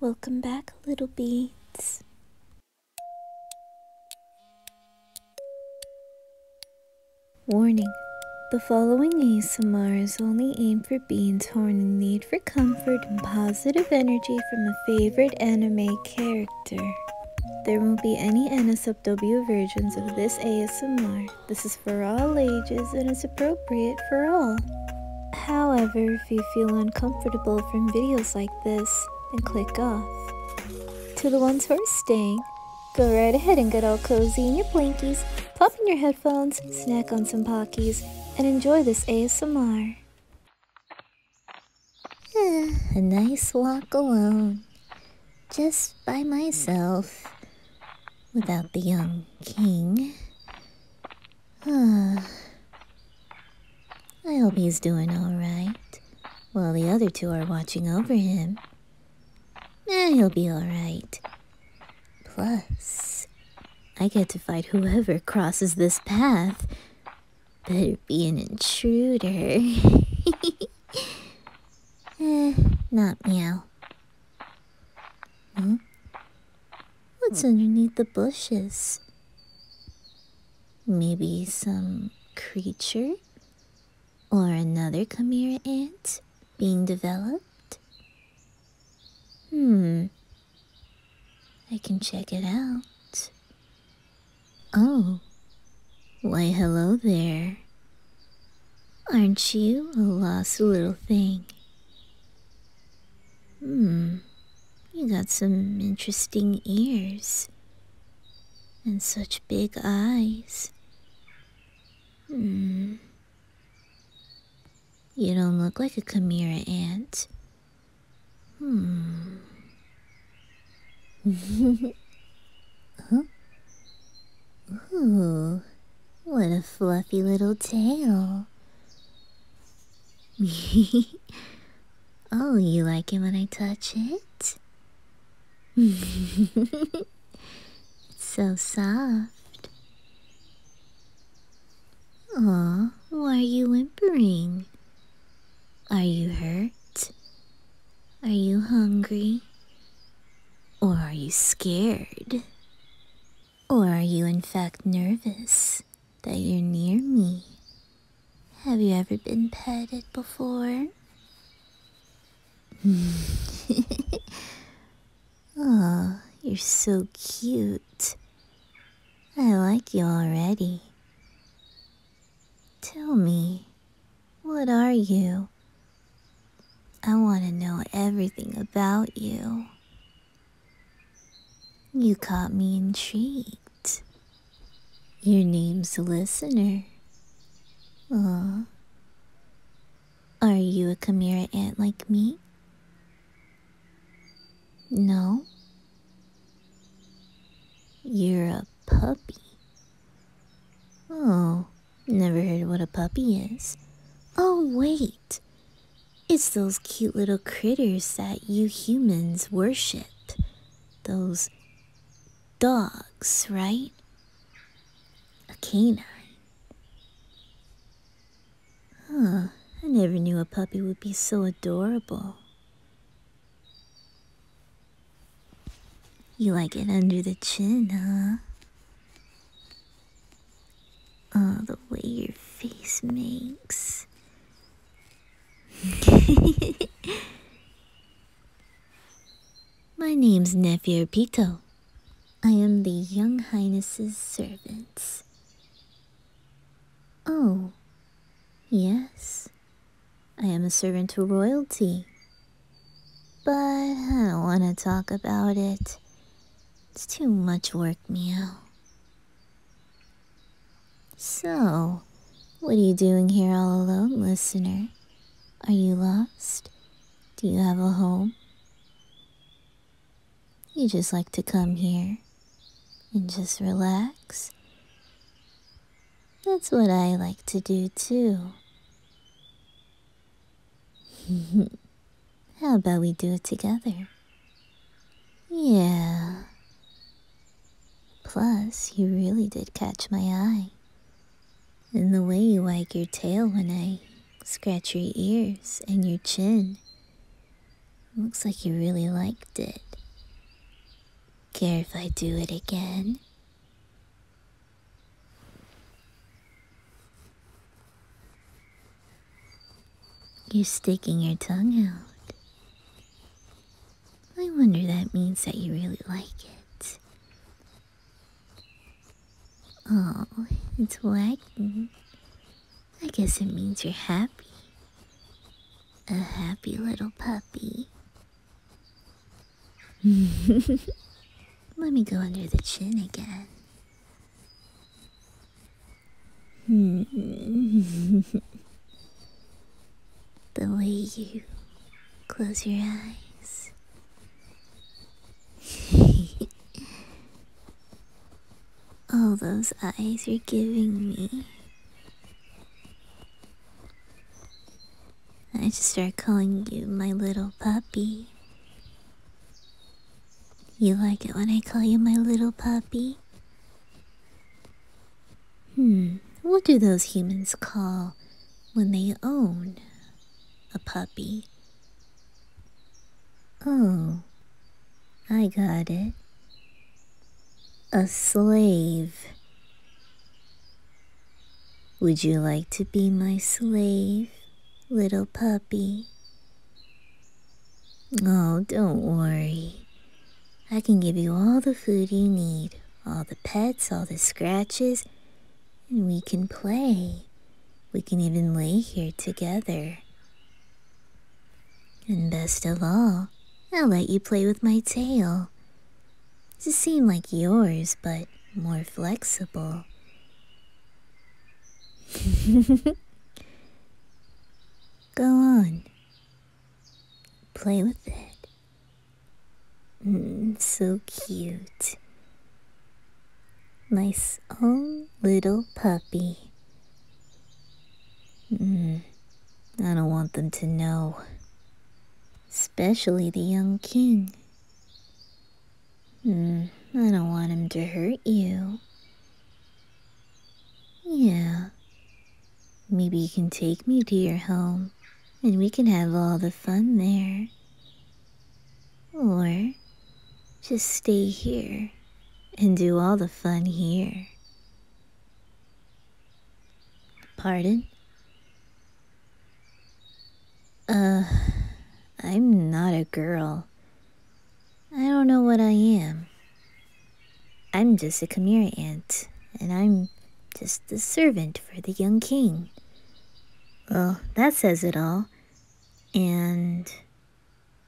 Welcome back, little beads. Warning The following ASMR is only aimed for beans torn are in need for comfort and positive energy from a favorite anime character. There won't be any NSFW versions of this ASMR. This is for all ages and is appropriate for all. However, if you feel uncomfortable from videos like this, then click off. To the ones who are staying, go right ahead and get all cozy in your blankies, pop in your headphones, snack on some Pockies, and enjoy this ASMR. Ah, a nice walk alone, just by myself without the young king. I hope he's doing all right while the other two are watching over him. Eh, he'll be all right. Plus, I get to fight whoever crosses this path. Better be an intruder. eh, not meow. Huh? What's underneath the bushes? Maybe some creature? Or another Chimera ant being developed? Hmm. I can check it out. Oh. Why, hello there. Aren't you a lost little thing? Hmm, you got some interesting ears. And such big eyes. Hmm. You don't look like a Chimera ant. Hmm. huh? Ooh, what a fluffy little tail. oh, you like it when I touch it? it's so soft. Aw, why are you whimpering? Are you hurt? Are you hungry? Or are you scared? Or are you in fact nervous that you're near me? Have you ever been petted before? oh, you're so cute. I like you already. Tell me, what are you? I want to know everything about you. You caught me intrigued. Your name's Listener. Aww. Are you a Chimera ant like me? No. You're a puppy. Oh, never heard what a puppy is. Oh, wait. It's those cute little critters that you humans worship. Those dogs, right? A canine. Huh, I never knew a puppy would be so adorable. You like it under the chin, huh? Oh, the way your face makes. My name's Nephew Pito. I am the young highness's servant. Oh, yes. I am a servant to royalty. But I don't want to talk about it. It's too much work, Meow. So, what are you doing here all alone, listener? Are you lost? Do you have a home? You just like to come here and just relax that's what I like to do too. How about we do it together? Yeah. Plus, you really did catch my eye. And the way you wag your tail when I scratch your ears and your chin. Looks like you really liked it. Care if I do it again? You're sticking your tongue out. I wonder that means that you really like it. Oh, it's wagging. I guess it means you're happy. A happy little puppy. Let me go under the chin again. the way you close your eyes. All those eyes you're giving me. I just start calling you my little puppy. You like it when I call you my little puppy? Hmm, what do those humans call when they own a puppy? Oh, I got it. A slave. Would you like to be my slave, little puppy? Oh, don't worry. I can give you all the food you need, all the pets, all the scratches, and we can play. We can even lay here together. And best of all, I'll let you play with my tail. To seem like yours, but more flexible. Go on. Play with it. Mm, so cute. Nice own little puppy. Mm, I don't want them to know. Especially the young king. Hmm, I don't want him to hurt you. Yeah. Maybe you can take me to your home and we can have all the fun there. Or just stay here and do all the fun here. Pardon? Uh, I'm not a girl. I don't know what I am. I'm just a Chimera ant, and I'm just a servant for the young king. Well, that says it all. And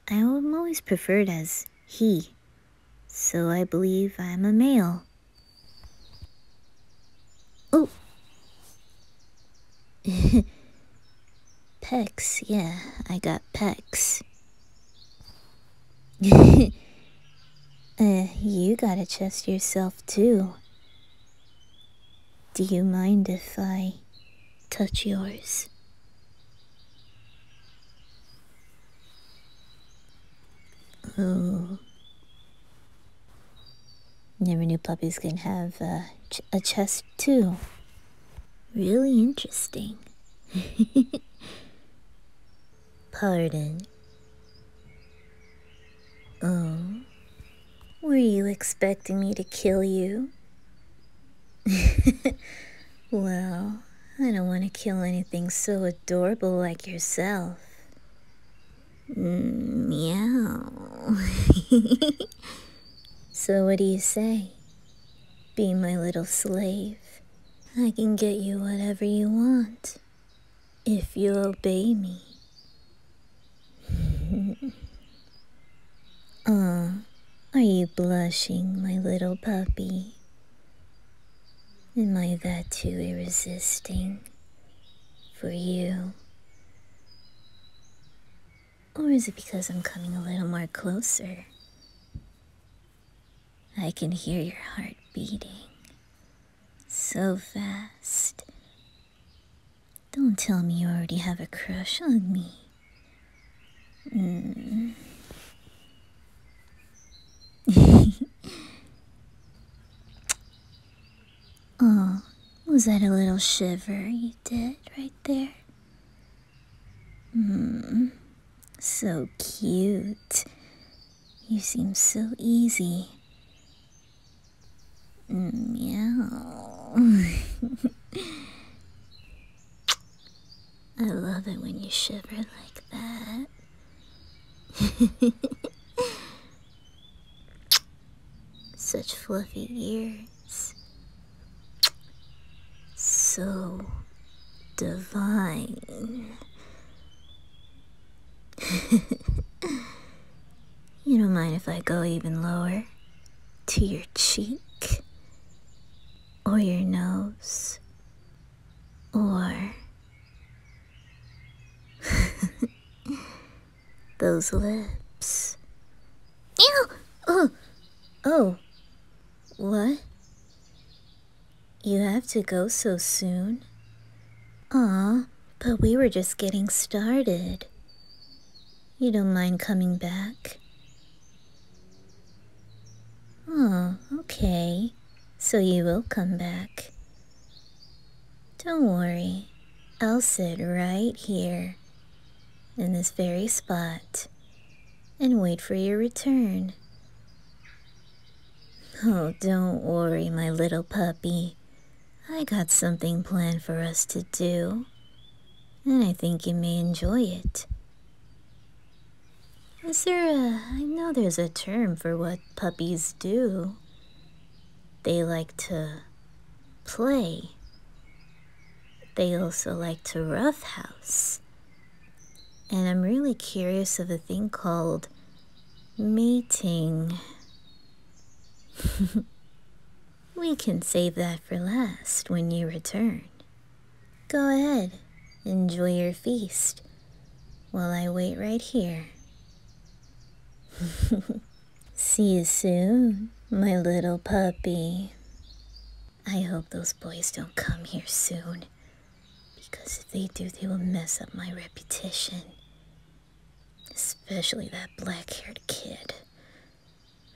I'm always preferred as he, so I believe I'm a male. Oh! pecs, yeah, I got pecs. Uh, you gotta trust yourself too. Do you mind if I touch yours. Ooh. Never knew puppies can have uh, a chest too. Really interesting. Pardon. Oh. Were you expecting me to kill you? well, I don't want to kill anything so adorable like yourself. Mm, meow. so what do you say? Be my little slave. I can get you whatever you want. If you obey me. Ah, are you blushing, my little puppy? Am I that too irresistible for you? Or is it because I'm coming a little more closer? I can hear your heart beating so fast. Don't tell me you already have a crush on me. Mm. oh, was that a little shiver you did right there? Mm. So cute. You seem so easy. Hmm, meow. I love it when you shiver like that. Such fluffy ears. So divine. You don't mind if I go even lower? To your cheek? Or your nose? Or. those lips. Ew! Oh! Oh! What? You have to go so soon? Aw, but we were just getting started. You don't mind coming back? Oh, okay. So you will come back. Don't worry. I'll sit right here, in this very spot, and wait for your return. Oh, don't worry, my little puppy. I got something planned for us to do, and I think you may enjoy it. Is there a. I know there's a term for what puppies do. They like to play. They also like to roughhouse. And I'm really curious of a thing called mating. We can save that for last when you return. Go ahead, enjoy your feast while I wait right here. See you soon, my little puppy. I hope those boys don't come here soon, because if they do, they will mess up my reputation. Especially that black haired kid.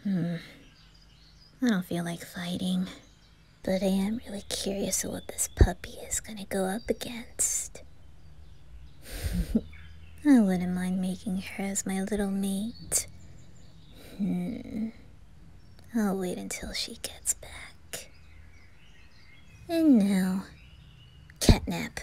Hmm. I don't feel like fighting. But I am really curious of what this puppy is gonna go up against. I wouldn't mind making her as my little mate. Hmm. I'll wait until she gets back. And now, Catnap.